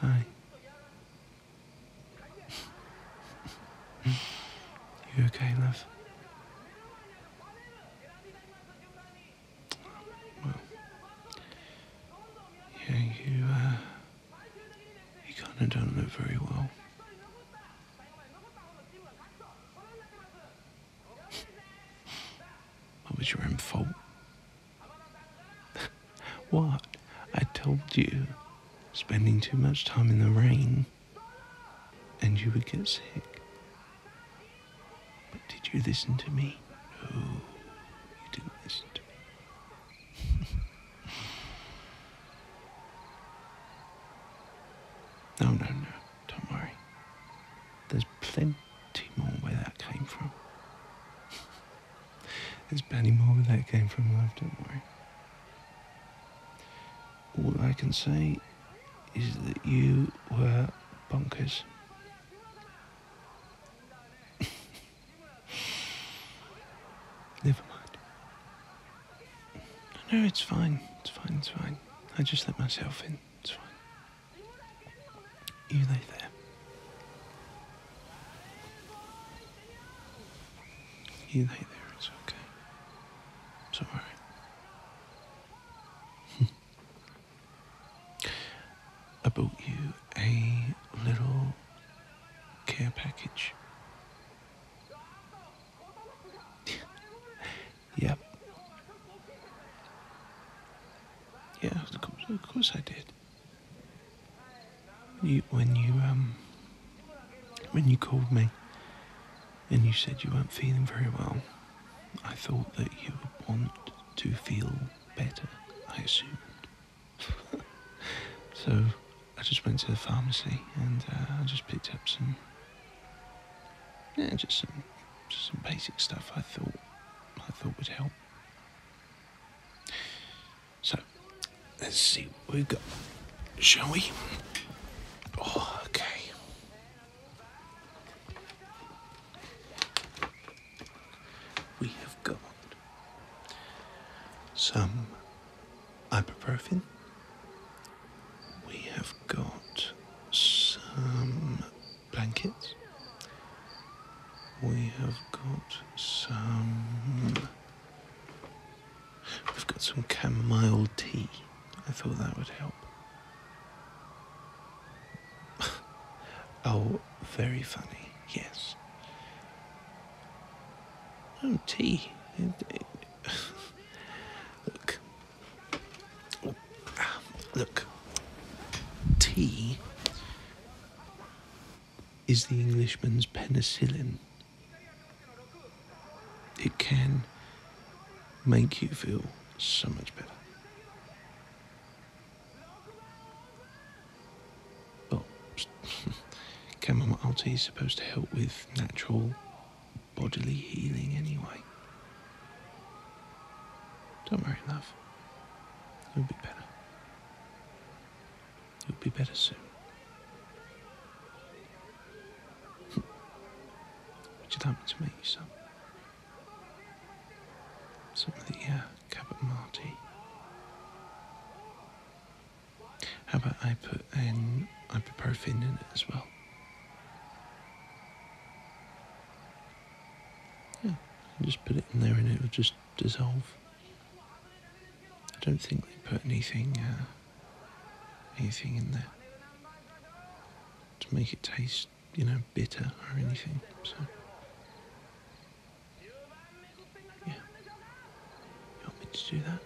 Hi. you okay, love? yeah, you, uh, you kind of don't look very well. That was your own fault. what? I told you, spending too much time in the rain and you would get sick. But did you listen to me? No, you didn't listen to me. no, no, no, don't worry. There's plenty plenty more where that came from. There's plenty more where that came from, love, don't worry. All I can say is that you were bonkers. Never mind. No, no, it's fine. It's fine, it's fine. I just let myself in. It's fine. You lay there. You lay there, it's okay. It's alright. I bought you a little care package. yep. Yeah, of course I did. You, when you um, when you called me and you said you weren't feeling very well, I thought that you would want to feel better. I assumed. so I just went to the pharmacy and uh, I just picked up some, yeah, just some, just some basic stuff I thought I thought would help. So, let's see what we've got, shall we? Oh, okay. We have got some ibuprofen. We have got some blankets. We have got some. We've got some chamomile tea. I thought that would help. oh, very funny, yes. Oh, tea. look, Look, tea is the Englishman's penicillin. It can make you feel so much better. Well, chamomile tea is supposed to help with natural bodily healing anyway. Don't worry, love it will be better. it will be better soon. Which it happened to me, some. Some of the Cabot Marty. How about I put an ibuprofen in it as well? Yeah, just put it in there and it will just dissolve. I don't think they put anything, uh, anything in there to make it taste, you know, bitter or anything. So. Yeah. You want me to do that?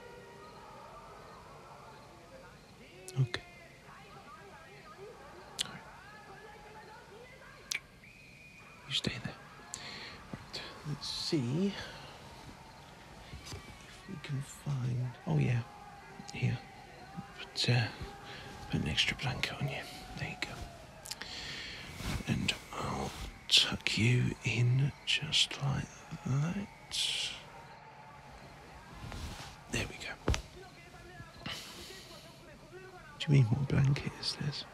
Okay. All right. You stay there. Let's see if we can find. Oh yeah, here. Put, uh, put an extra blanket on you. There you go. And I'll tuck you in just like that. There we go do you mean what blanket is this?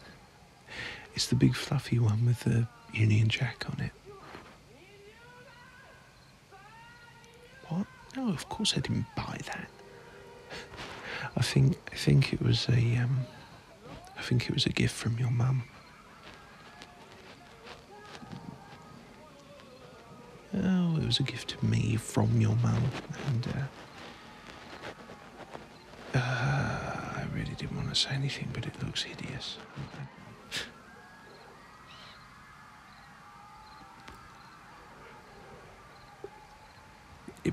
it's the big fluffy one with the Union Jack on it. What? No, of course I didn't buy that. I think I think it was a um, I think it was a gift from your mum. Oh, it was a gift to me from your mum, and uh, uh, I really didn't want to say anything, but it looks hideous.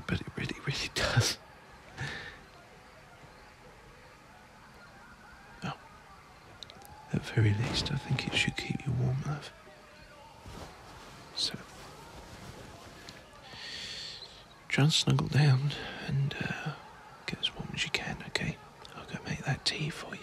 but it really, really does. oh, at very least, I think it should keep you warm, love. So John snuggle down and uh, get as warm as you can, okay? I'll go make that tea for you.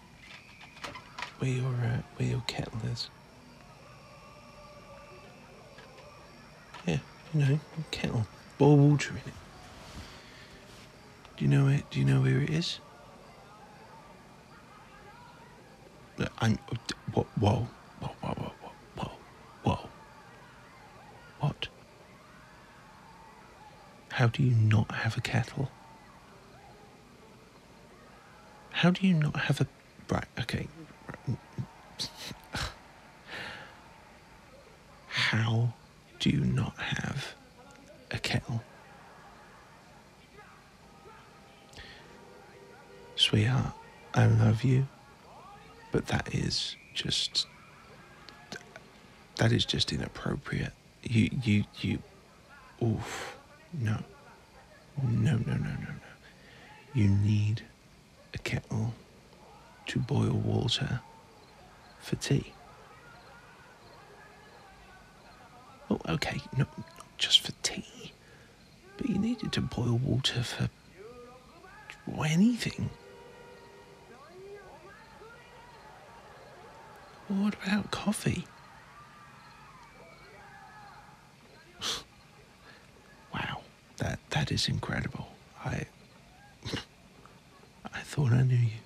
Where your, where your kettle is. Yeah, you know, kettle. Boil water in it. Do you know it? Do you know where it is? I'm. whoa, whoa, whoa, whoa, whoa, whoa. What? How do you not have a kettle? How do you not have a. Right, okay. How do you not have a kettle? Sweetheart, I love you, but that is just. That is just inappropriate you you you oof no no no no no no you need a kettle to boil water for tea oh okay no not just for tea but you needed to boil water for well, anything what about coffee wow, that that is incredible. I I thought I knew you.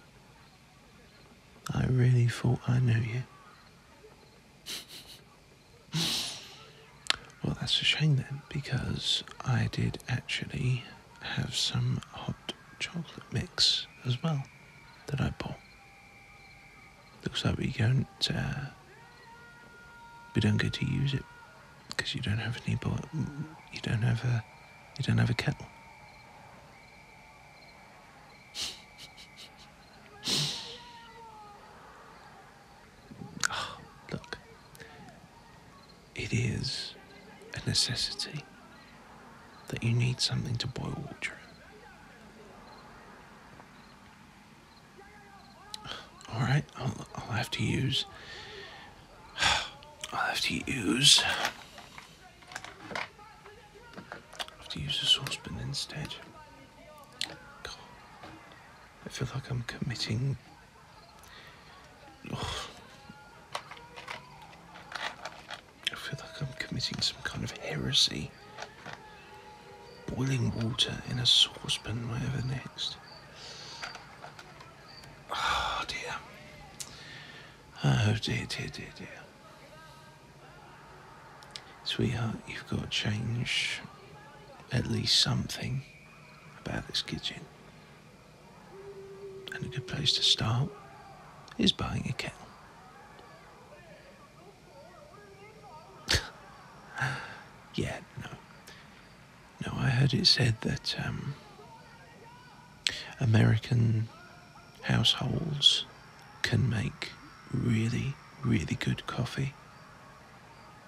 I really thought I knew you. well, that's a shame then, because I did actually have some hot chocolate mix as well that I bought. Looks like we don't uh, we don't get to use it because you don't have any bo- you don't have a you don't have a kettle. Ah, look, it is a necessity that you need something to boil water in. All right, have to use. I'll have to use. have to use a saucepan instead. God, I feel like I'm committing. I feel like I'm committing some kind of heresy. Boiling water in a saucepan, whatever next. Oh dear. Oh dear, dear, dear, dear. Sweetheart, you've got to change at least something about this kitchen. And a good place to start is buying a kettle. yeah, no. No, I heard it said that um, American households can make really, really good coffee,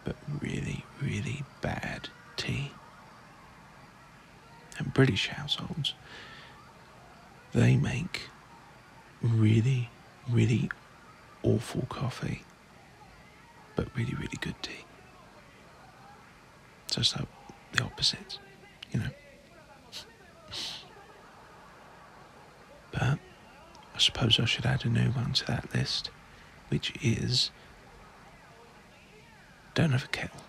but really, really bad tea. And British households they make really, really awful coffee, but really, really good tea. So it's like the opposites, you know. But I suppose I should add a new one to that list, which is don't have a kettle.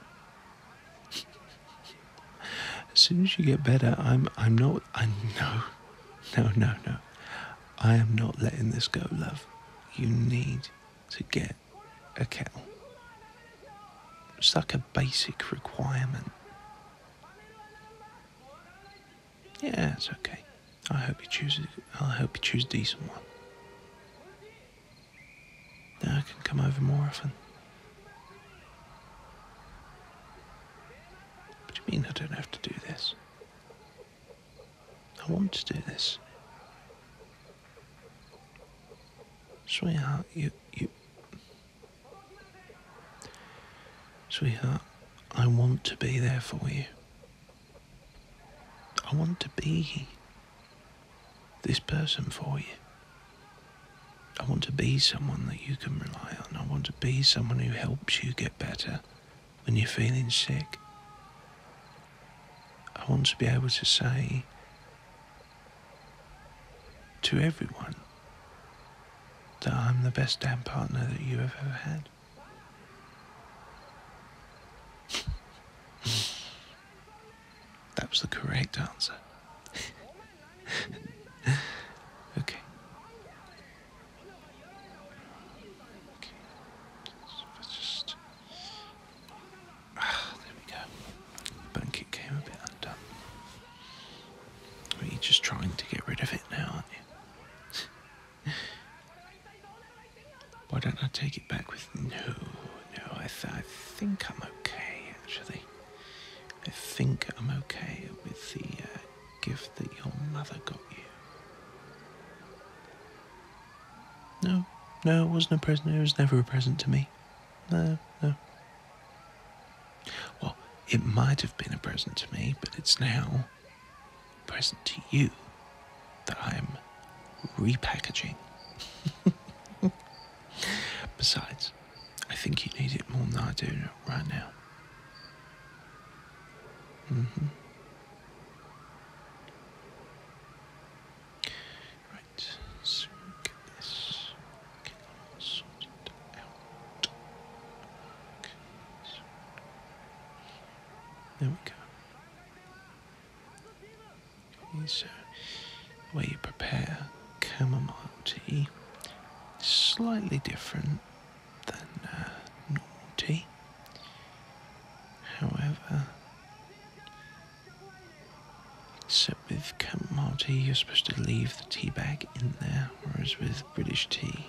As soon as you get better, I'm I'm not I know, no no no. I am not letting this go, love. You need to get a kettle. It's like a basic requirement. Yeah, it's okay. I hope you choose. I hope you choose a decent one. Now I can come over more often. What you mean I don't have to do this? I want to do this. Sweetheart, you, you. Sweetheart, I want to be there for you. I want to be here this person for you. I want to be someone that you can rely on. I want to be someone who helps you get better when you're feeling sick. I want to be able to say to everyone that I'm the best damn partner that you have ever had. That was the correct answer. okay. Okay. Let's just. Ah, there we go. The blanket came a bit undone. Are you just trying to get rid of it now, aren't you? Why don't I take it back with. No, no, I, I think I'm okay, actually. I think I'm okay with the uh, gift that your mother got you. No, no, it wasn't a present. It was never a present to me. No, no. Well, it might have been a present to me, but it's now a present to you that I'm repackaging. Besides, I think you need it more than I do right now. -hmm. Right, so get out. There we go is uh, where you prepare chamomile tea. is Slightly different than uh, normal tea. However, except with chamomile tea, you're supposed to leave the tea bag in there, whereas with British tea,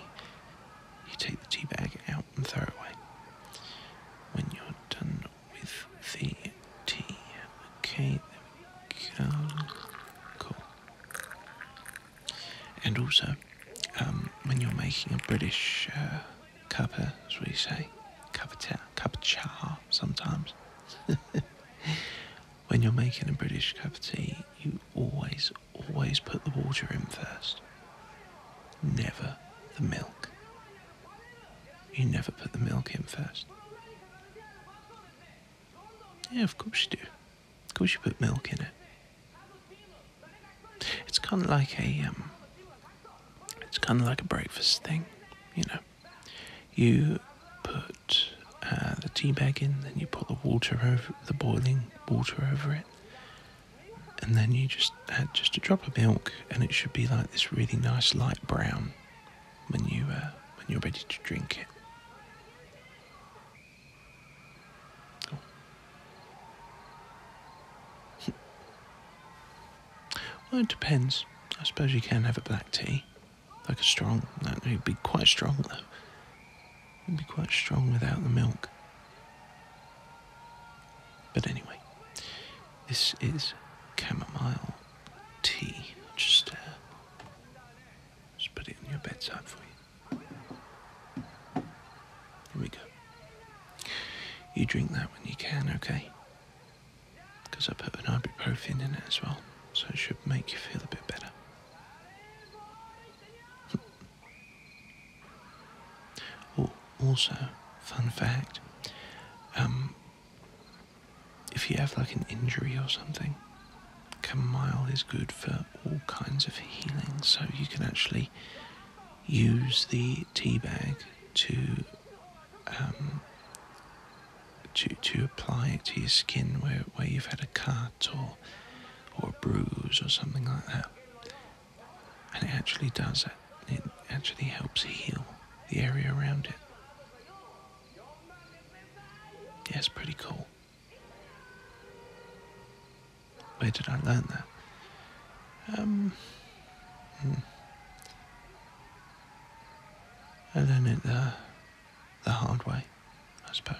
you take the tea bag out and throw it away when you're done with the tea. Okay, Cool. And also, um, when you're making a British uh, cuppa, as we say, cup of, ta- cup of cha sometimes, when you're making a British cup of tea, you always, always put the water in first. Never the milk. You never put the milk in first. Yeah, of course you do. Of course you put milk in it. It's kind of like a um, it's kind of like a breakfast thing, you know. You put uh, the tea bag in, then you put the water over the boiling water over it, and then you just add just a drop of milk, and it should be like this really nice light brown when you uh, when you're ready to drink it. well, it depends. I suppose you can have a black tea, like a strong. No, it'd be quite strong though. It'd be quite strong without the milk. But anyway, this is chamomile tea. Just, uh, just put it on your bedside for you. There we go. You drink that when you can, okay? Because I put an ibuprofen in it as well, so it should make you feel a bit better. Oh, also, fun fact. Um, if you have like an injury or something, chamomile is good for all kinds of healing. So you can actually use the tea bag to um, to to apply it to your skin where where you've had a cut or or a bruise or something like that. And it actually does it. It actually helps heal the area around it. Yeah, it's pretty cool. Where did I learn that? Um, hmm. I learned it the, hard way, I suppose.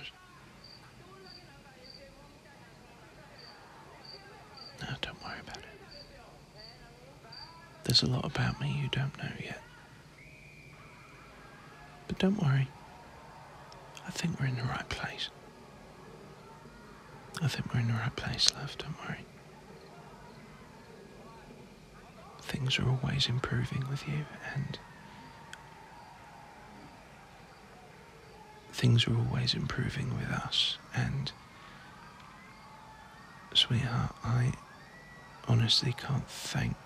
No, don't worry about it. There's a lot about me you don't know yet. But don't worry, I think we're in the right place. I think we're in the right place, love, don't worry. Things are always improving with you, and things are always improving with us, and Sweetheart, I honestly can't thank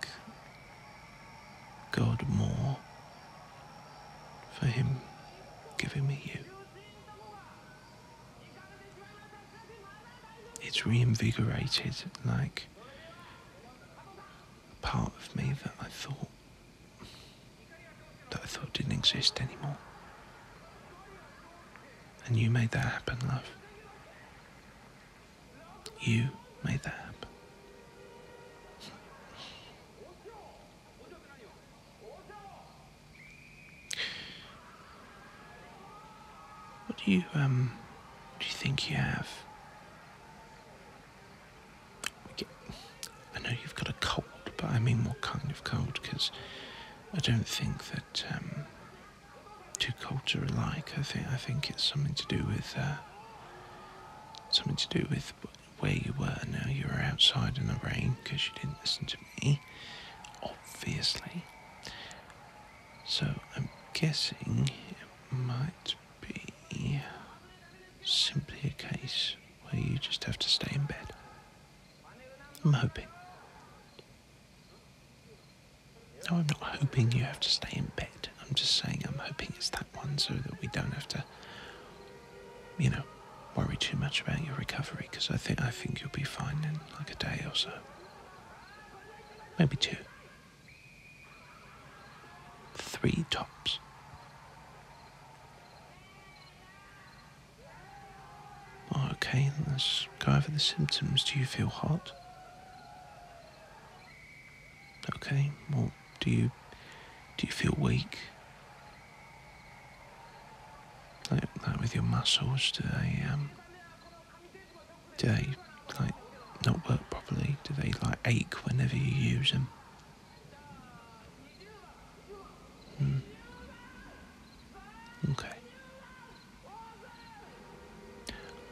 God more for Him giving me you. It's reinvigorated like part of me that I thought that I thought didn't exist anymore. And you made that happen, love. You made that happen. What do you um do you think you have? I know you've got a cold, but I mean what kind of cold? Because I don't think that um, too culture alike. I think I think it's something to do with uh, something to do with where you were. Now you were outside in the rain because you didn't listen to me, obviously. So I'm guessing it might be simply a case where you just have to stay in bed. I'm hoping. No, I'm not hoping you have to stay in bed. I'm just saying I'm hoping it's that one so that we don't have to, you know, worry too much about your recovery because I think I think you'll be fine in like a day or so. Maybe two. Three tops. Oh, okay, let's go over the symptoms. Do you feel hot? Okay, well, do you do you feel weak? Like, like with your muscles, do they um do they like not work properly? Do they like ache whenever you use them? Hmm. Okay.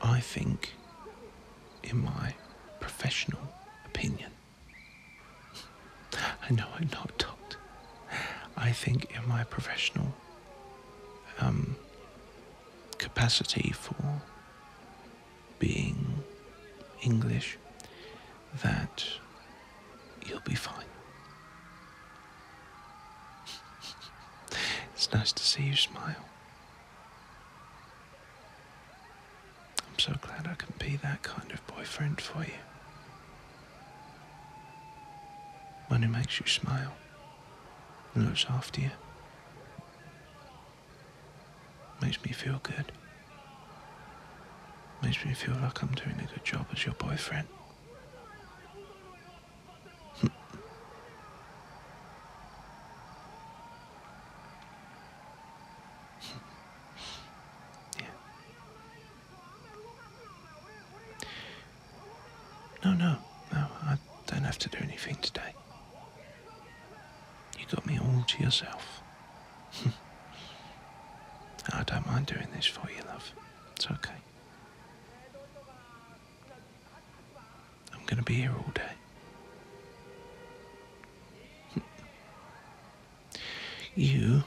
I think, in my professional opinion, I know I'm not a I think, in my professional um, capacity for being English, that you'll be fine it's nice to see you smile. I'm so glad I can be that kind of boyfriend for you. One who makes you smile and looks after you. Makes me feel good. Makes me feel like I'm doing a good job as your boyfriend. No, no, no, I don't have to do anything today. You got me all to yourself. I don't mind doing this for you, love. It's okay. I'm going to be here all day. You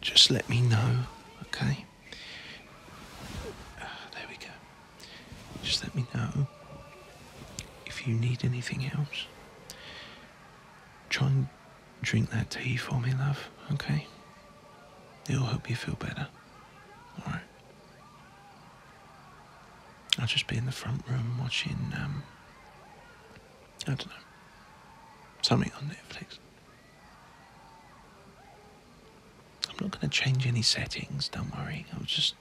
just let me know, okay? Ah, there we go. Just let me know if you need anything else. Try and drink that tea for me, love, okay? It'll help you feel better. Alright. I'll just be in the front room watching, um, I don't know, something on Netflix. I'm not going to change any settings, don't worry. I'll just.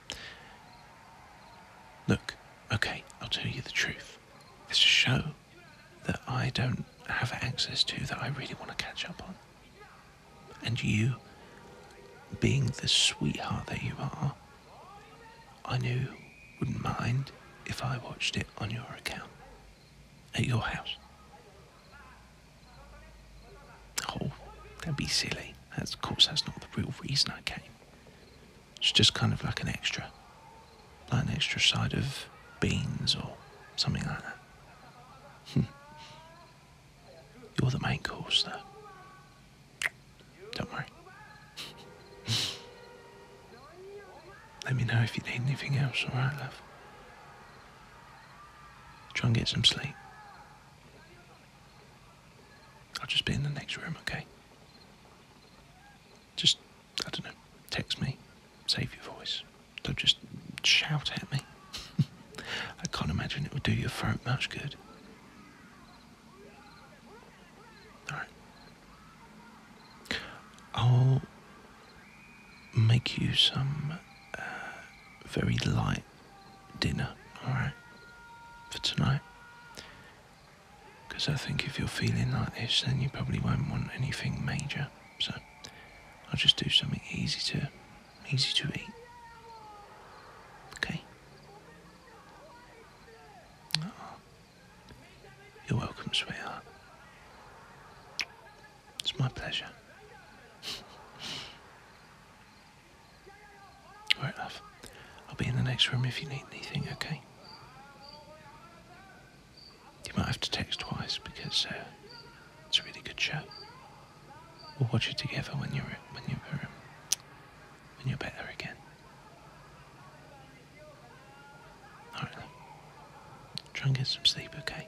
Look, okay, I'll tell you the truth. It's a show that I don't have access to that I really want to catch up on. And you, being the sweetheart that you are, I knew wouldn't mind if I watched it on your account at your house. Oh, that'd be silly. of course, that's not the real reason I came. It's just kind of like an extra, like an extra side of beans or something like that. Hmm. You're the main course, though. Don't worry. Let me know if you need anything else, alright, love? Try and get some sleep. I'll just be in the next room, okay? Just, I don't know, text me, save your voice. Don't just shout at me. I can't imagine it would do your throat much good. Alright. I'll make you some uh, very light dinner, alright? For tonight. Because I think if you're feeling like this, then you probably won't want anything major. So I'll just do something easy to easy to eat. Okay. Oh. You're welcome, sweetheart. It's my pleasure. Alright, love. I'll be in the next room if you need anything, okay? You might have to text twice because uh, it's a really good show. We'll watch it together when you're when you're um, when you're better again. All right, try and get some sleep, okay?